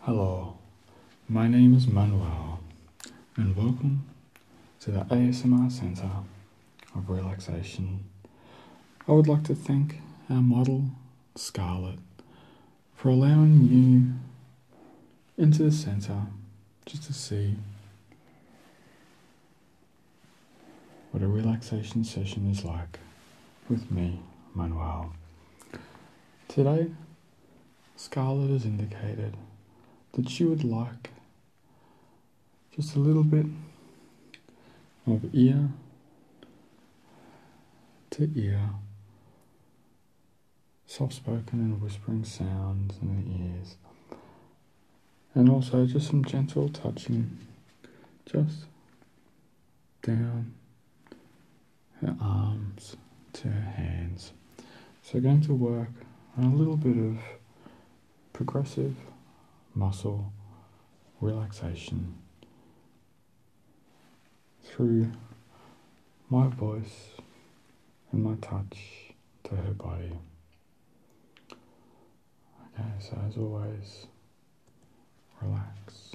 Hello, my name is Manuel, and welcome to the ASMR Centre of Relaxation. I would like to thank our model, Scarlett, for allowing you into the centre just to see what a relaxation session is like with me, Manuel. Today, Scarlett has indicated that she would like just a little bit of ear to ear, soft spoken and whispering sounds in the ears, and also just some gentle touching, just down her arms to her hands. So going to work on a little bit of progressive muscle relaxation through my voice and my touch to her body. Okay, so as always, relax.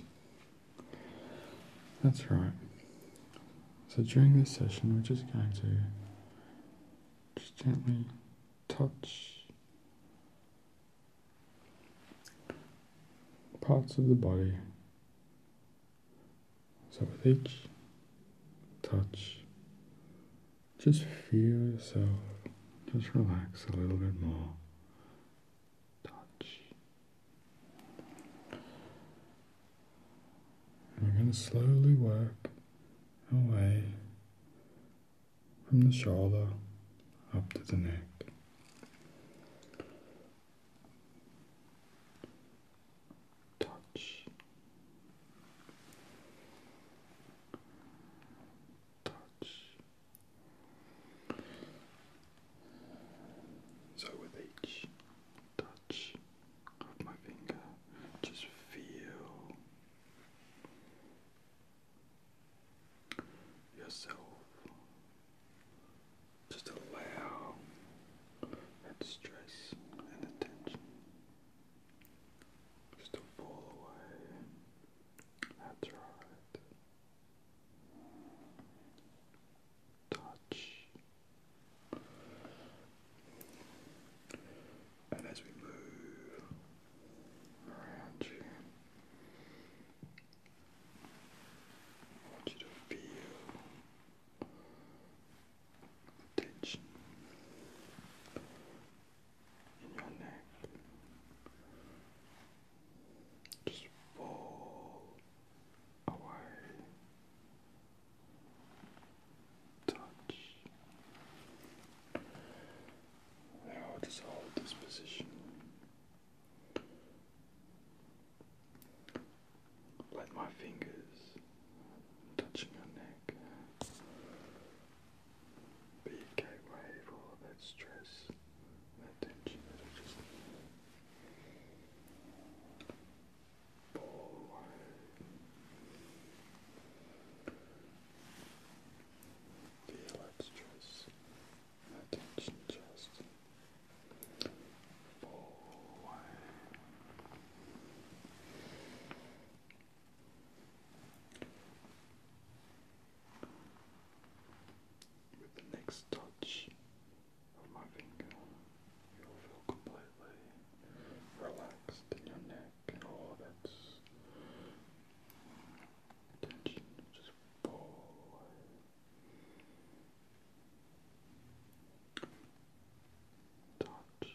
That's right. So during this session, we're just going to just gently touch parts of the body. So with each touch, just feel yourself, just relax a little bit more touch. we're going to slowly work away from the shoulder up to the neck. Touch. Touch. So, with each touch of my finger, just feel yourself. Just allow that stress and attention just to fall away. That's right touch. And as we move around you, I want you to feel the in your neck just fall away. Touch. Now just hold this position. Let my fingers touching your neck be a gateway for that stress that tension that just the electress attention just boy. Boy with the next touch of my finger, you'll feel completely relaxed in your neck oh, and all of its tension just fall away. Touch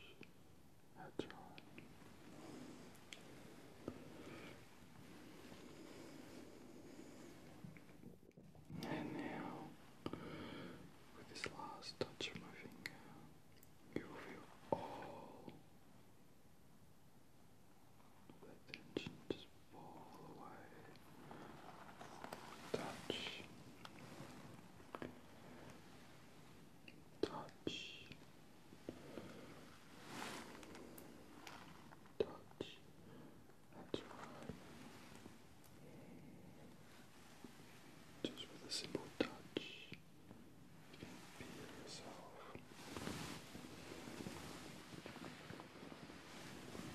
at time. And now, with this last touch of my finger, you will feel all the tension just fall away. Touch. Touch. Touch. Just with a simple touch, you yourself.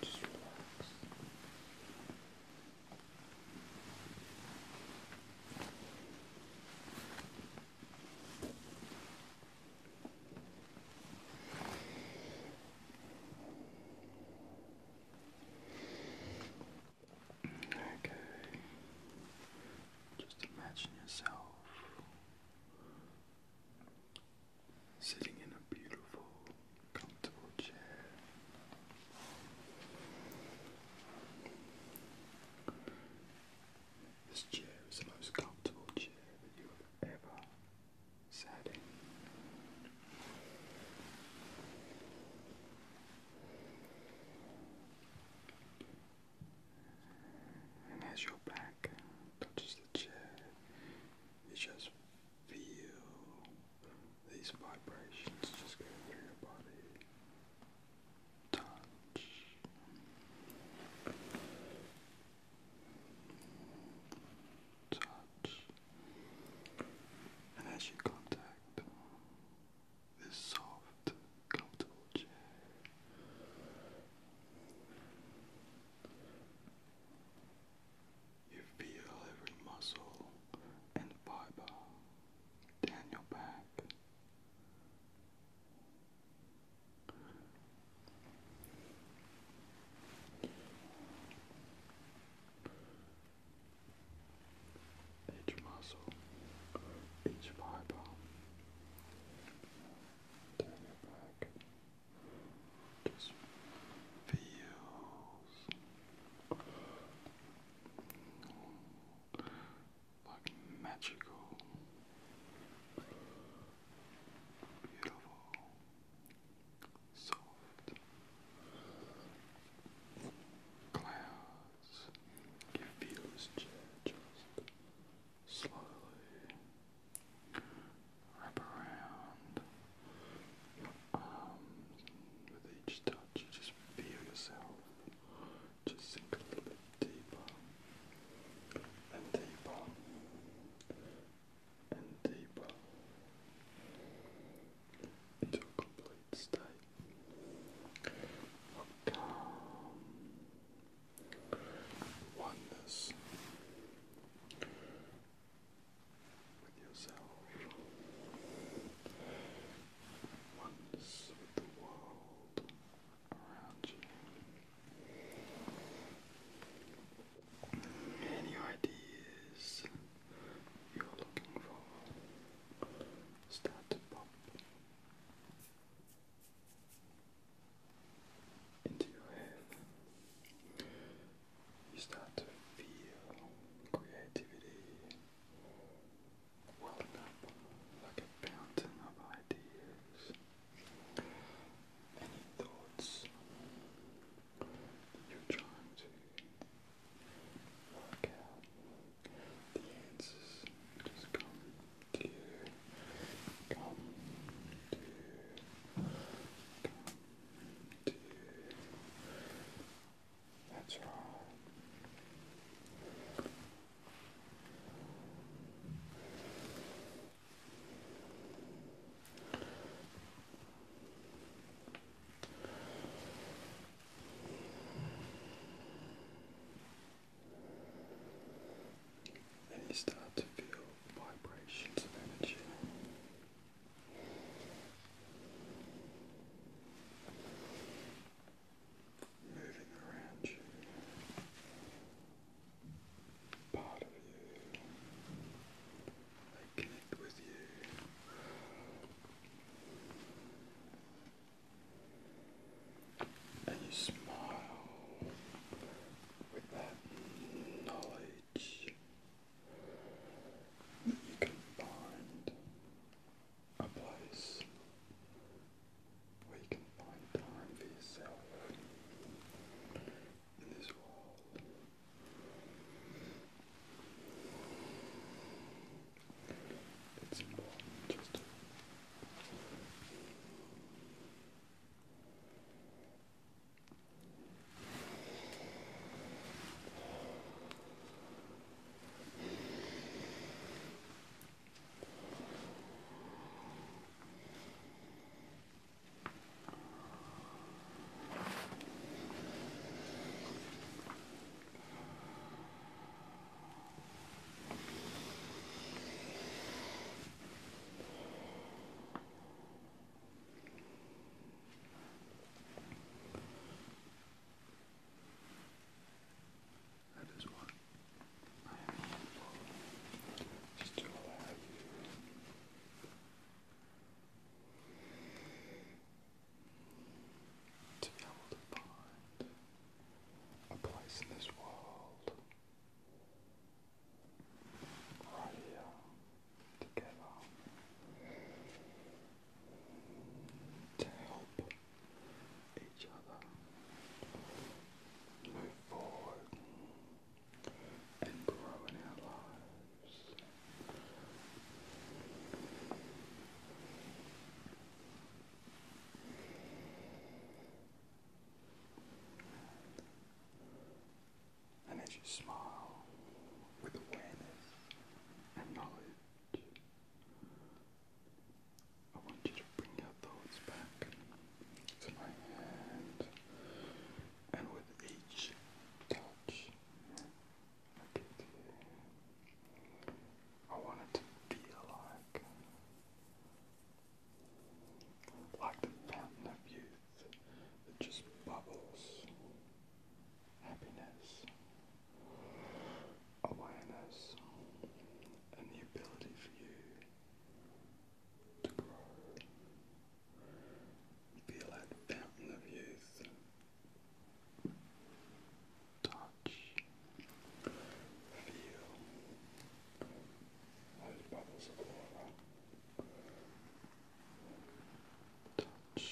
Just relax. Okay. Just imagine yourself sitting in a beautiful, comfortable chair. This chair is the most comfortable chair that you have ever setting. And as your back touches the chair, you just feel these vibrations just go through your body. Touch touch, and as you contact this soft, comfortable chair. You feel every muscle and fiber down your back each muscle, each fiber, turn your back, just feels like magical, beautiful soft clouds. It feels just slowly wrap around With each touch, you just feel yourself just sink a little bit deeper and deeper and deeper into a complete state of oneness with yourself, oneness with the world around you. Any ideas you're looking for start to pop into your head. You start to feel creativity welling up like a fountain of ideas any thoughts you're trying to work out, the answers just come to come to come to That's right. And you start to feel vibrations of energy. Moving around you, part of you. I connect with you. And you smile with that knowledge that you can find a place where can find time for yourself in this wall. It's more just that is one. Just do To be able to find a place in this world right here together to help each other move forward and grow in our lives. And as you smile with awareness and knowledge, I want you to bring your thoughts back to my hand, and with each touch, I want it to feel like, like the fountain of youth that just bubbles happiness, awareness, and the ability for you to grow. Feel that fountain of youth. Touch. Feel those bubbles of water. Touch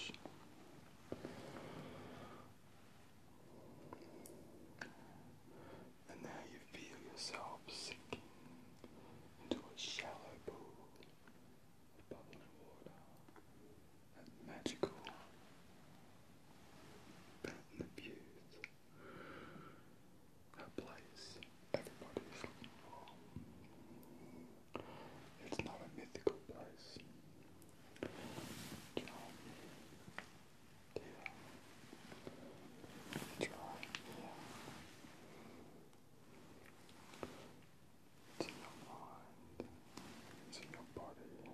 and now you feel yourself sinking into a shallow pool of bubbling water and magical fountain of youth. A place everybody's looking for. It's not a mythical place. John, dear, to your it's in your mind, it's in your body,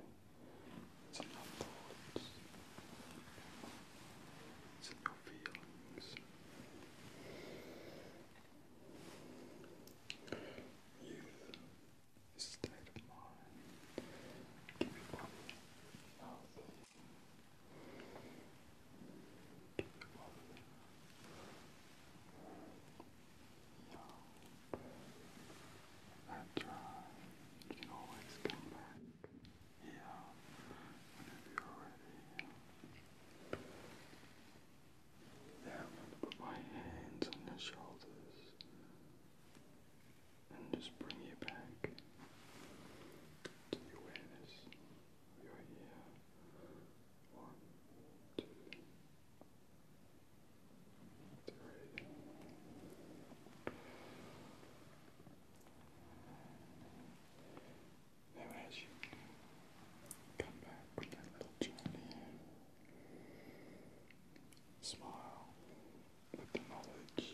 it's in your thoughts, it's in your feelings. Youth state of mind, that's You can always come back here whenever you're ready. Then I'm going to put my hands on your shoulders and just bring you back to the awareness you are here. One, two, three. Now, as you come back little journey, smile with the knowledge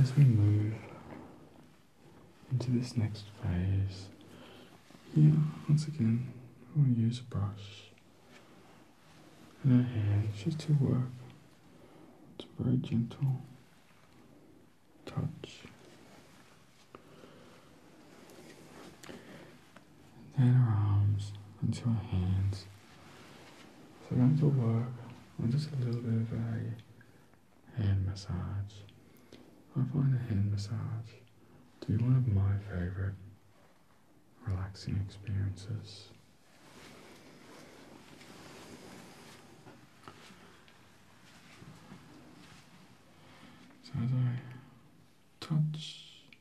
As we move into this next phase, here once again we'll use a brush and our just to work. It's a very gentle touch and then our arms into our hands. So we're going to work on just a little bit of a hand massage. I find a hand massage to be one of my favorite relaxing experiences. So as I touch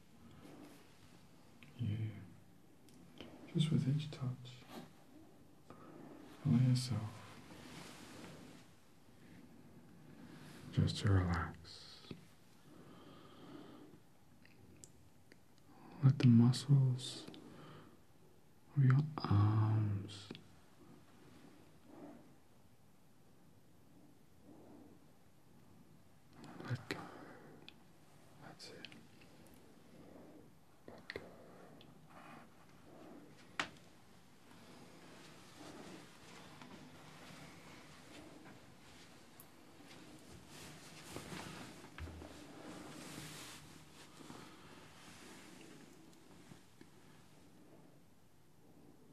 you, just with each touch, allow yourself just to relax. Let the muscles of your arms let go. That's it. Let go.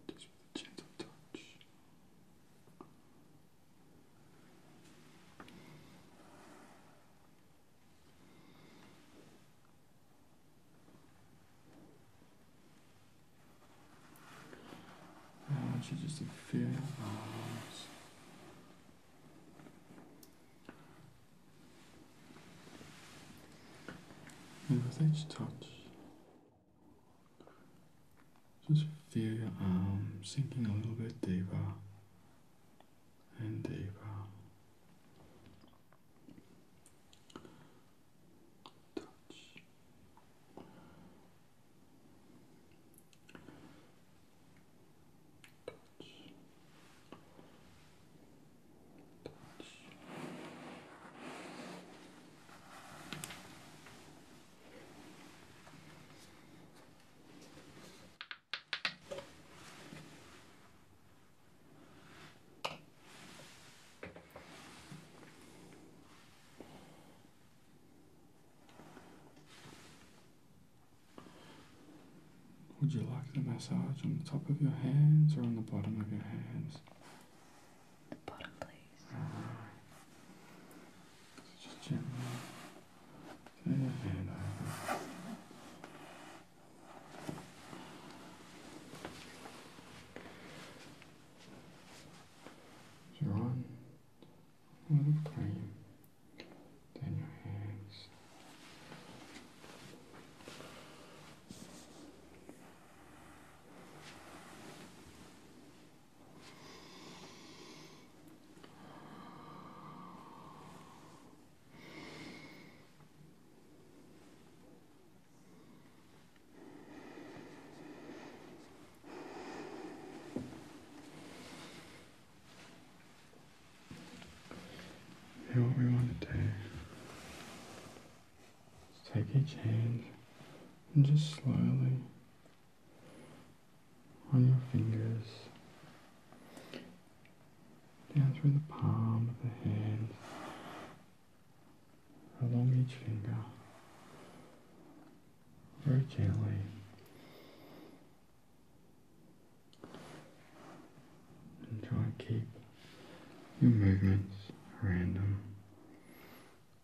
Just with a gentle touch. go. I want you just to feel your And with each touch, just feel your arm sinking a little bit deeper and deeper. Touch. Touch. Touch. Would you like the massage on the top of your hands or on the bottom of your hands? The bottom, please. Just gently turn your head over. So on then your hands. And what we want to take each hand and just slowly on your fingers, down through the palm of the hand, along each finger, very gently. And try and keep your movements random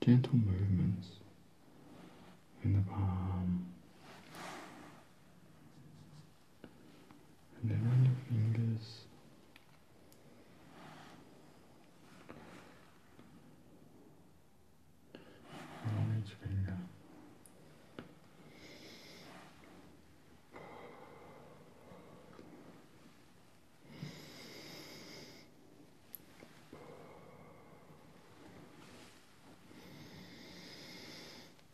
gentle movements in the palm and then on your fingers. On each finger.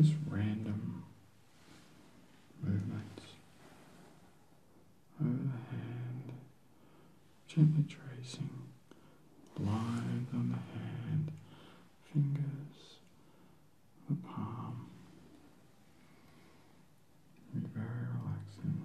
Just random movements over the hand, gently tracing lines on the hand, fingers, the palm. Be very relaxing.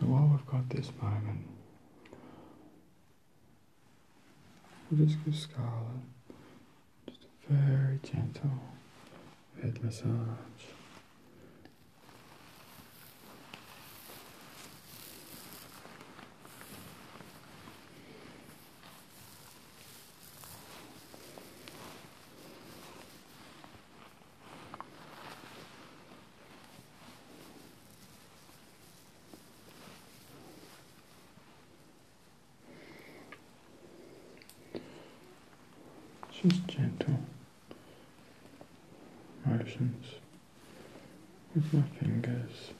So while we've got this moment, we'll just give Scarlett just a very gentle head massage. Just gentle motions with my fingers.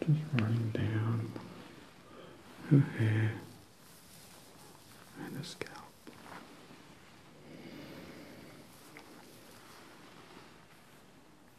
Just running down her hair and her scalp.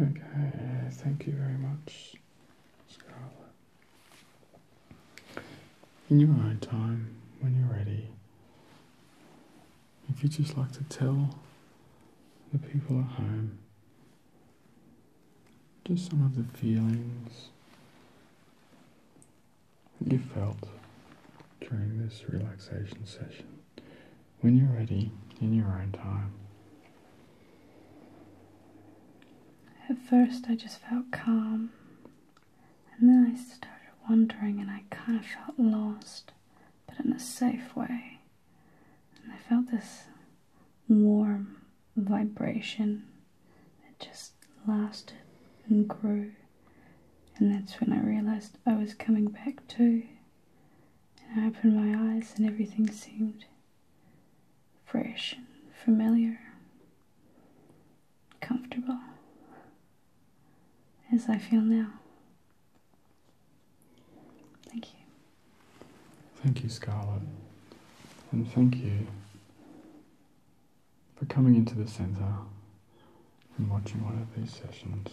Okay, thank you very much, Scarlet. In your own time, when you're ready, if you'd just like to tell the people at home just some of the feelings that you felt during this relaxation session when you're ready in your own time. At first, I just felt calm, and then I started wondering, and I kind of felt lost, but in a safe way. And I felt this warm vibration that just lasted and grew, and that's when I realized I was coming back to and I opened my eyes, and everything seemed fresh and familiar, comfortable as I feel now. Thank you. Thank you, Scarlett, and thank you for coming into the centre and watching one of these sessions.